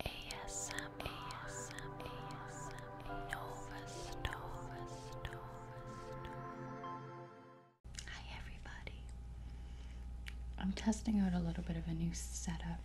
ASM, ASM, ASM, Nova Nova Nova Hi everybody. I'm testing out a little bit of a new setup,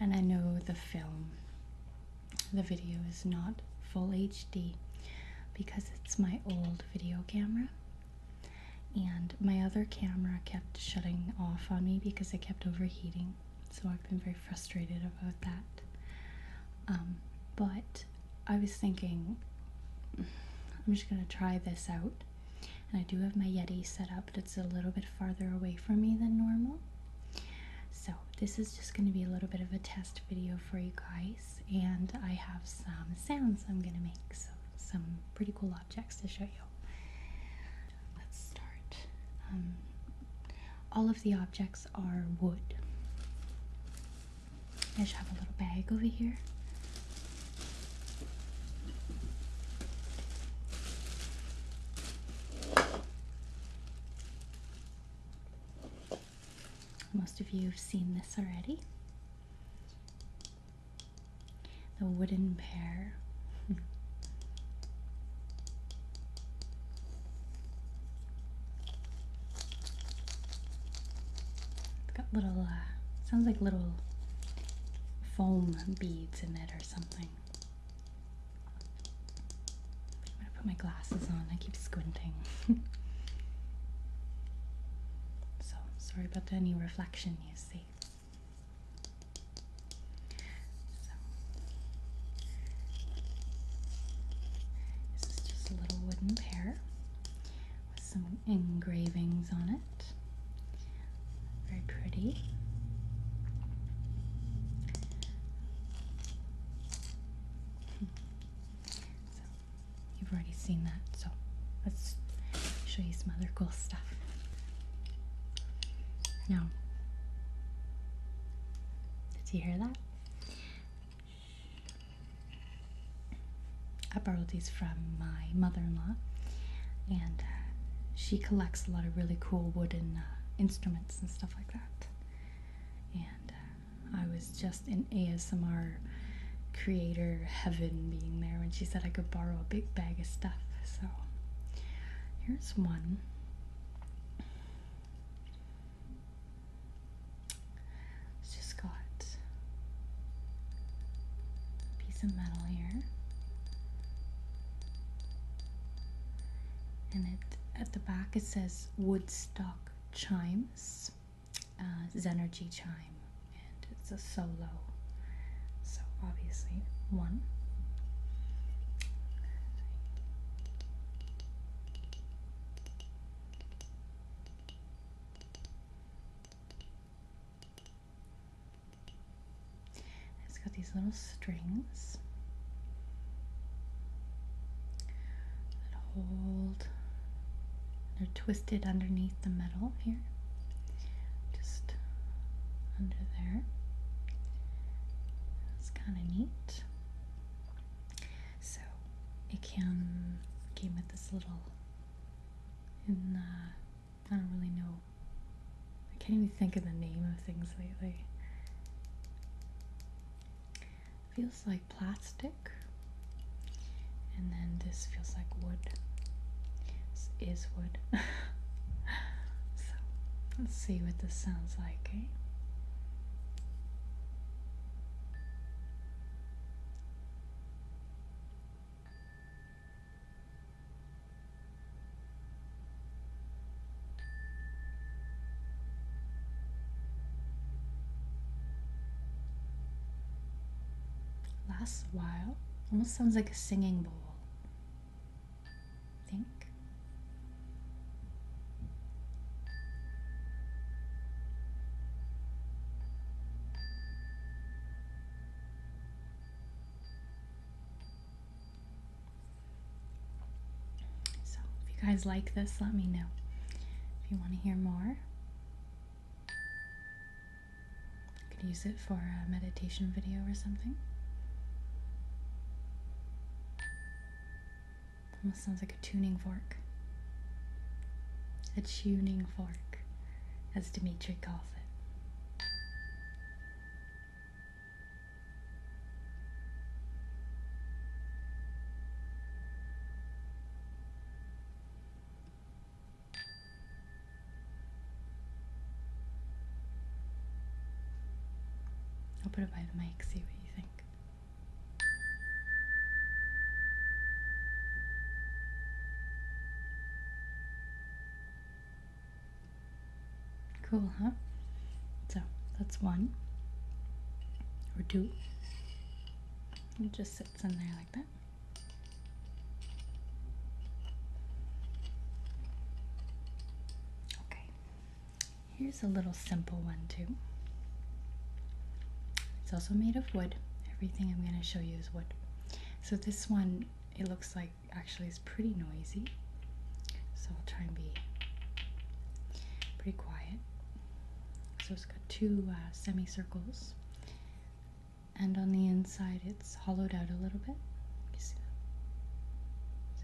and I know the film, the video is not full HD because it's my old video camera. And my other camera kept shutting off on me because it kept overheating so I've been very frustrated about that. Um, but I was thinking, I'm just gonna try this out. And I do have my Yeti set up, but it's a little bit farther away from me than normal. So this is just gonna be a little bit of a test video for you guys. And I have some sounds I'm gonna make, so some pretty cool objects to show you. Let's start. Um, all of the objects are wood. I should have a little bag over here. Most of you have seen this already the wooden bear. it's got little, uh, sounds like little foam beads in it or something. I'm gonna put my glasses on, I keep squinting. so, sorry about any reflection you see this is just a little wooden pair with some engravings on it. Very pretty. you've already seen that, so let's show you some other cool stuff. No. Did you hear that? I borrowed these from my mother-in-law, and uh, she collects a lot of really cool wooden uh, instruments and stuff like that. And uh, I was just in ASMR creator heaven being there when she said I could borrow a big bag of stuff. So Here's one. It's just got a piece of metal here. And it at the back it says Woodstock Chimes, uh, Zenergy Chime, and it's a solo so obviously, one. It's got these little strings that hold, they're twisted underneath the metal here just under there. It's kind of neat. So it can came with this little. Uh, I don't really know. I can't even think of the name of things lately. Feels like plastic, and then this feels like wood. This is wood. let's see what this sounds like, eh? Last while. Almost sounds like a singing bowl think. So, if you guys like this, let me know. If you want to hear more, could use it for a meditation video or something. Almost sounds like a tuning fork. A tuning fork, as Dmitri calls it. I'll put it by the mic, see what you think. Cool, huh? So that's one or two. It just sits in there like that. Okay, here's a little simple one too. It's also made of wood. Everything I'm going to show you is wood. So this one, it looks like actually is pretty noisy. So I'll try and be pretty quiet. So it's got two uh, semicircles and on the inside it's hollowed out a little bit. See?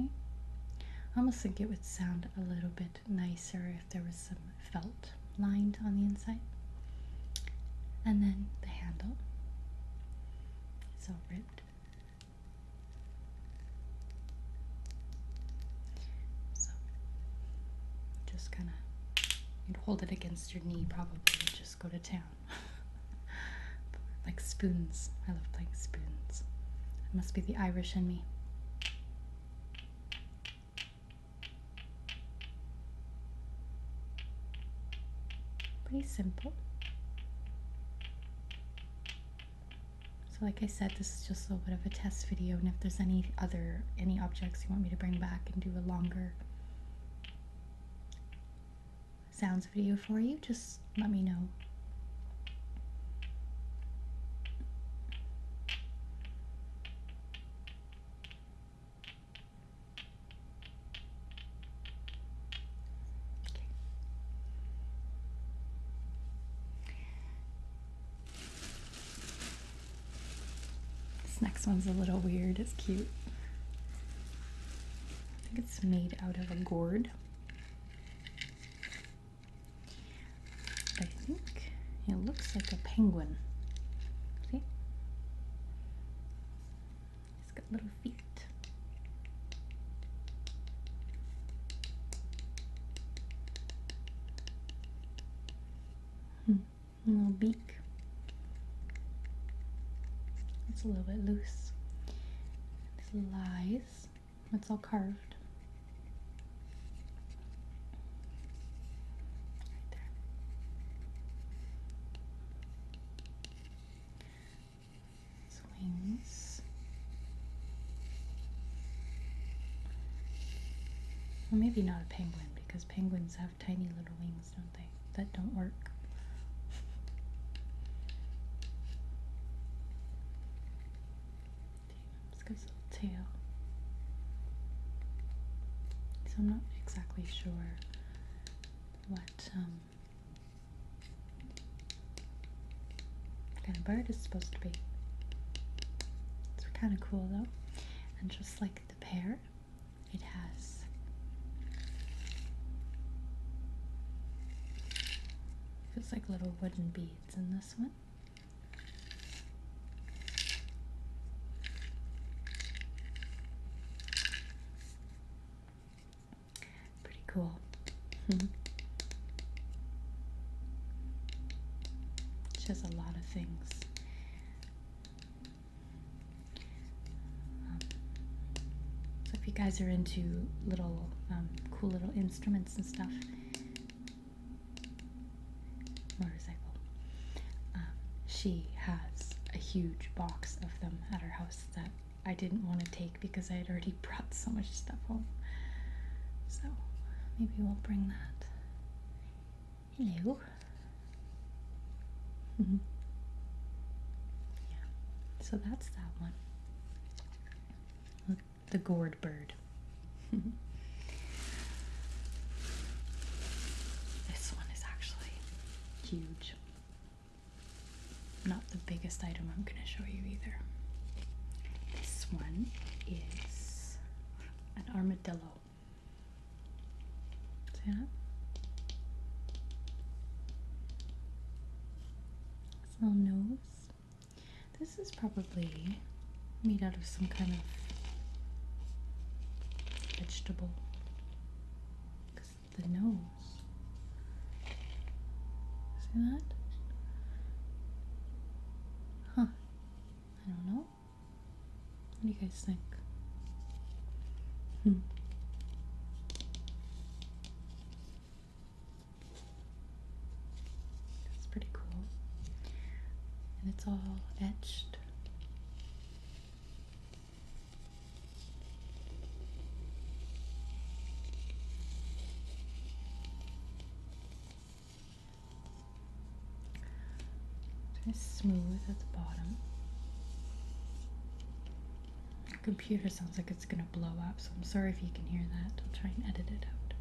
I almost think it would sound a little bit nicer if there was some felt lined on the inside. And then the handle. It's all ripped. So just kind of you'd hold it against your knee probably and just go to town. like spoons. I love playing spoons. It must be the Irish in me. Pretty simple. So like I said, this is just a little bit of a test video and if there's any other, any objects you want me to bring back and do a longer sounds video for you, just let me know. This next one's a little weird, it's cute. I think it's made out of a gourd. I think it looks like a penguin. See? It's got little feet. Hmm. little beak. It's a little bit loose. eyes. It's all carved. wings. Well, maybe not a penguin because penguins have tiny little wings don't they? That don't work. Let's his little tail. So I'm not exactly sure what um, kind of bird is supposed to be. It's kind of cool though. And just like the pair. It has. Feels like little wooden beads in this one. Pretty cool. she has a lot of things so if you guys are into little um, cool little instruments and stuff, motorcycle. Um, she has a huge box of them at her house that I didn't want to take because I had already brought so much stuff home. So maybe we'll bring that. Hello. Mm-hmm. Yeah, so that's that one. the gourd bird. this one is actually huge. Not the biggest item I'm going to show you either. This one is an armadillo. See little nose. This is probably made out of some kind of vegetable. Because the nose. See that? Huh. I don't know. What do you guys think? Hmm. That's pretty cool. And it's all etched. It's smooth at the bottom. Your computer sounds like it's gonna blow up, so I'm sorry if you can hear that. I'll try and edit it out.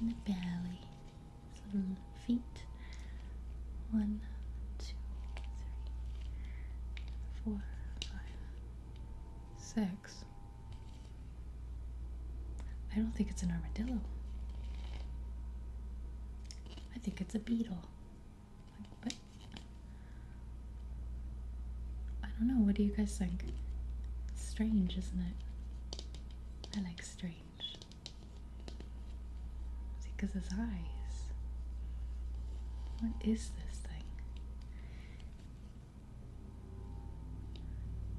And the belly, his feet. One, two, three, four, five, six. I don't think it's an armadillo. I think it's a beetle. I don't know. What do you guys think? strange, isn't it? I like strange. See, because his eyes. What is this thing?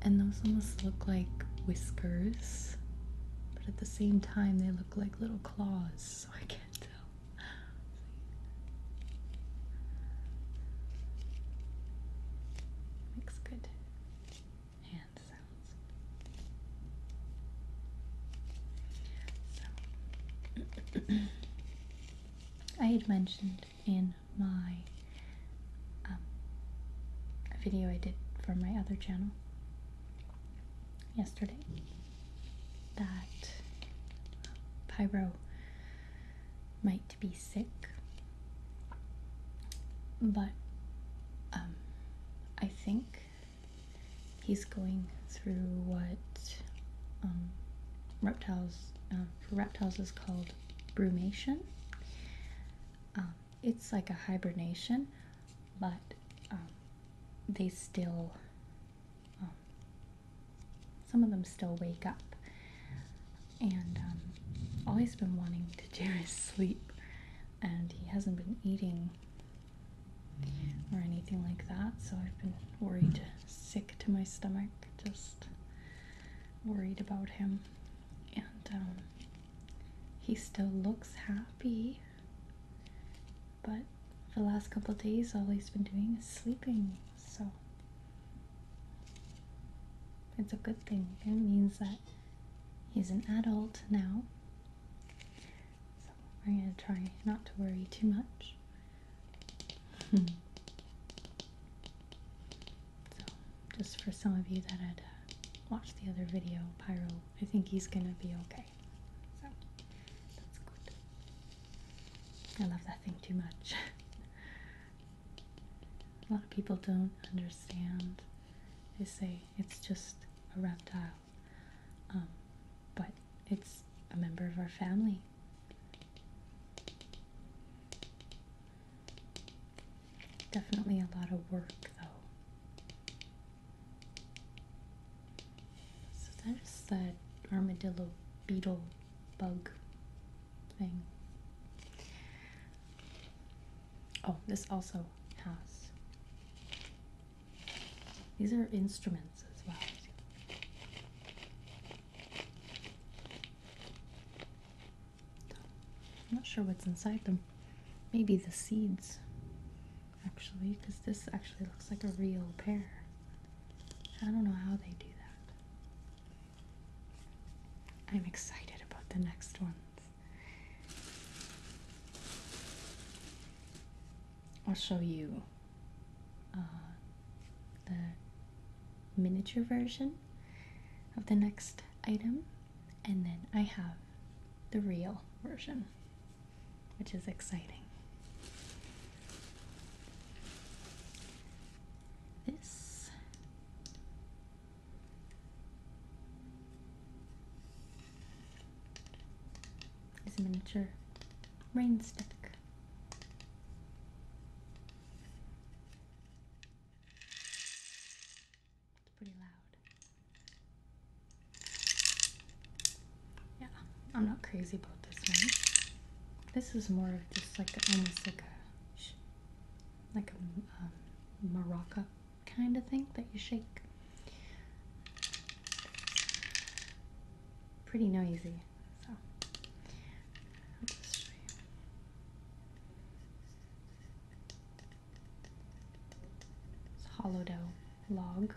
And those almost look like whiskers, but at the same time, they look like little claws, so I can't can't good hand sounds. So, I had mentioned in my um, video I did for my other channel yesterday that Pyro might be sick, but um, I think he's going through what um, reptiles um, reptiles is called brumation. it's like a hibernation, but they still, um, some of them still wake up. And um, all he's been wanting to do is sleep, and he hasn't been eating or anything like that, so I've been worried, sick to my stomach, just worried about him. And um, he still looks happy, but for the last couple days, all he's been doing is sleeping, so it's a good thing. It means that he's an adult now. So we're going to try not to worry too much. so, just for some of you that had uh, watched the other video, Pyro, I think he's going to be okay. So that's good. I love that thing too much. A lot of people don't understand. They say it's just a reptile, um, but it's a member of our family. Definitely a lot of work though. So that's that armadillo beetle bug thing. Oh, this also has. These are instruments as well. I'm not sure what's inside them. Maybe the seeds actually, because this actually looks like a real pair. I don't know how they do that. I'm excited about the next ones. I'll show you uh, the miniature version of the next item, and then I have the real version which is exciting. This is a miniature rainstick. It's pretty loud. Yeah, I'm not crazy about this one. This is more of just like almost like a like a um, maraca kind of thing that you shake. Pretty noisy. So it's hollow dough log.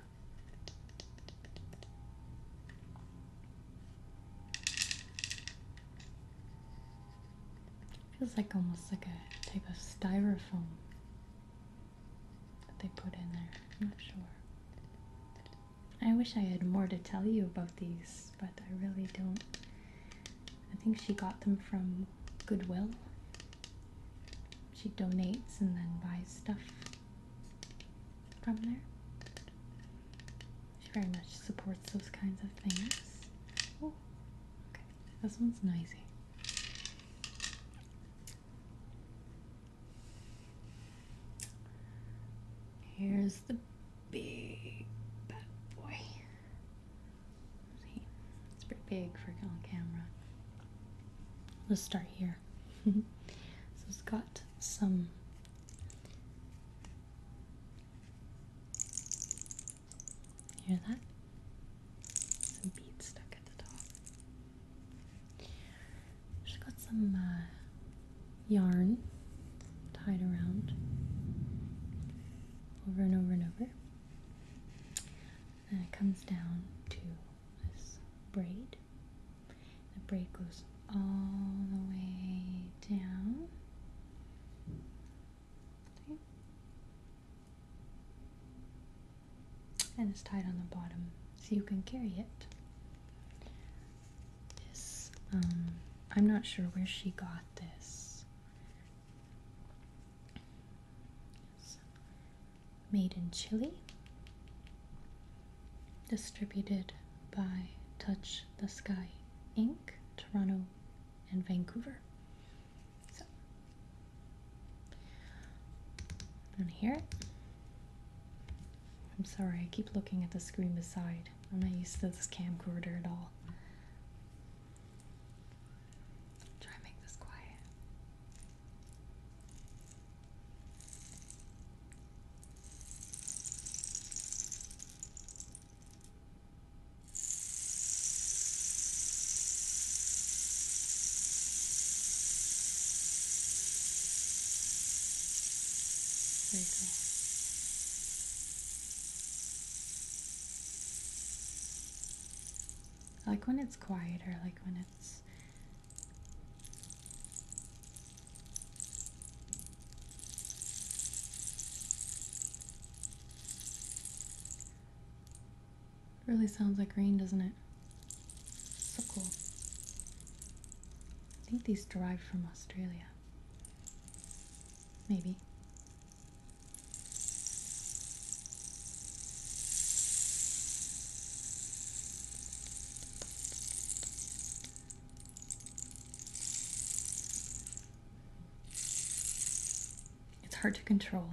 Feels like almost like a type of styrofoam that they put in there. I'm not sure. I wish I had more to tell you about these, but I really don't. I think she got them from Goodwill she donates and then buys stuff from there. She very much supports those kinds of things. Oh, okay. This one's noisy. Here's the big bad boy it's pretty big for on camera. Let's start here. so it's got some hear that? Some beads stuck at the top. It's got some uh, yarn tied around over and over and over. And it comes down to this braid. The braid goes all the way down. And it's tied on the bottom so you can carry it. This, um, I'm not sure where she got this made in Chile, distributed by Touch the Sky Inc., Toronto and Vancouver. So, I'm I'm sorry, I keep looking at the screen beside. I'm not used to this camcorder at all. Try and make this quiet. Very like when it's quieter, like when it's Really sounds like rain, doesn't it? So cool. I think these derive from Australia. Maybe. It's hard to control.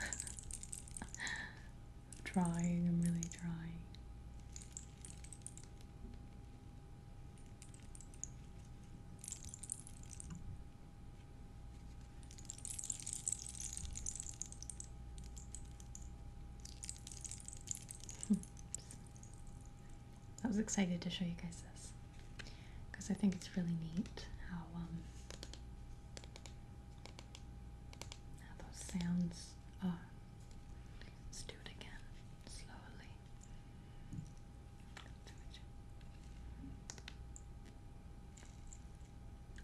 I'm trying, I'm really trying. I was excited to show you guys this because I think it's really neat um, how those sounds are. Let's do it again slowly.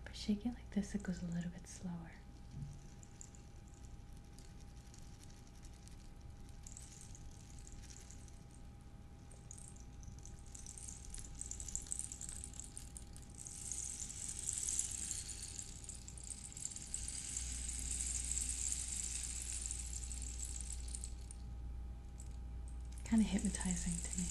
But shaking like this, it goes a little bit slower. Kind of hypnotizing to me.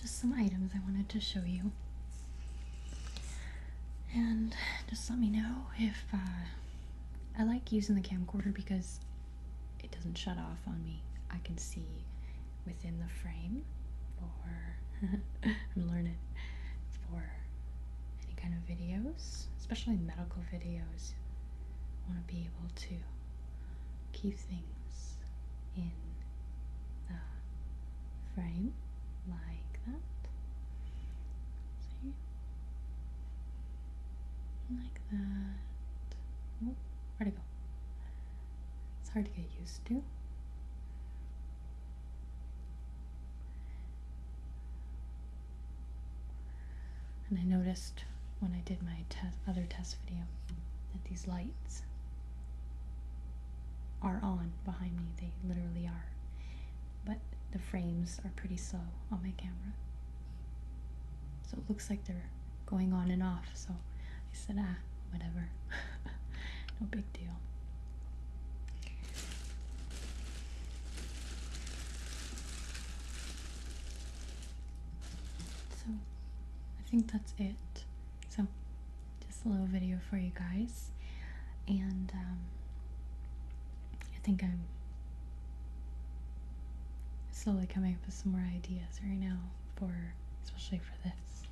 Just some items I wanted to show you. And just let me know if uh, I like using the camcorder because it doesn't shut off on me. I can see within the frame for I'm learning for any kind of videos, especially medical videos. I want to be able to keep things in the frame like that. Like that. where'd go? It's hard to get used to. And I noticed when I did my other test video that these lights are on behind me. They literally are. But the frames are pretty slow on my camera. So it looks like they're going on and off. So I said, ah, whatever. no big deal. So I think that's it. So just a little video for you guys. And um, I think I'm slowly coming up with some more ideas right now for especially for this.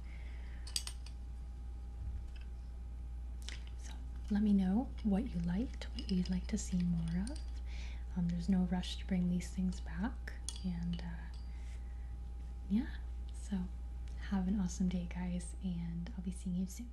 So let me know what you liked, what you'd like to see more of. Um, there's no rush to bring these things back. And uh, yeah, so have an awesome day, guys, and I'll be seeing you soon.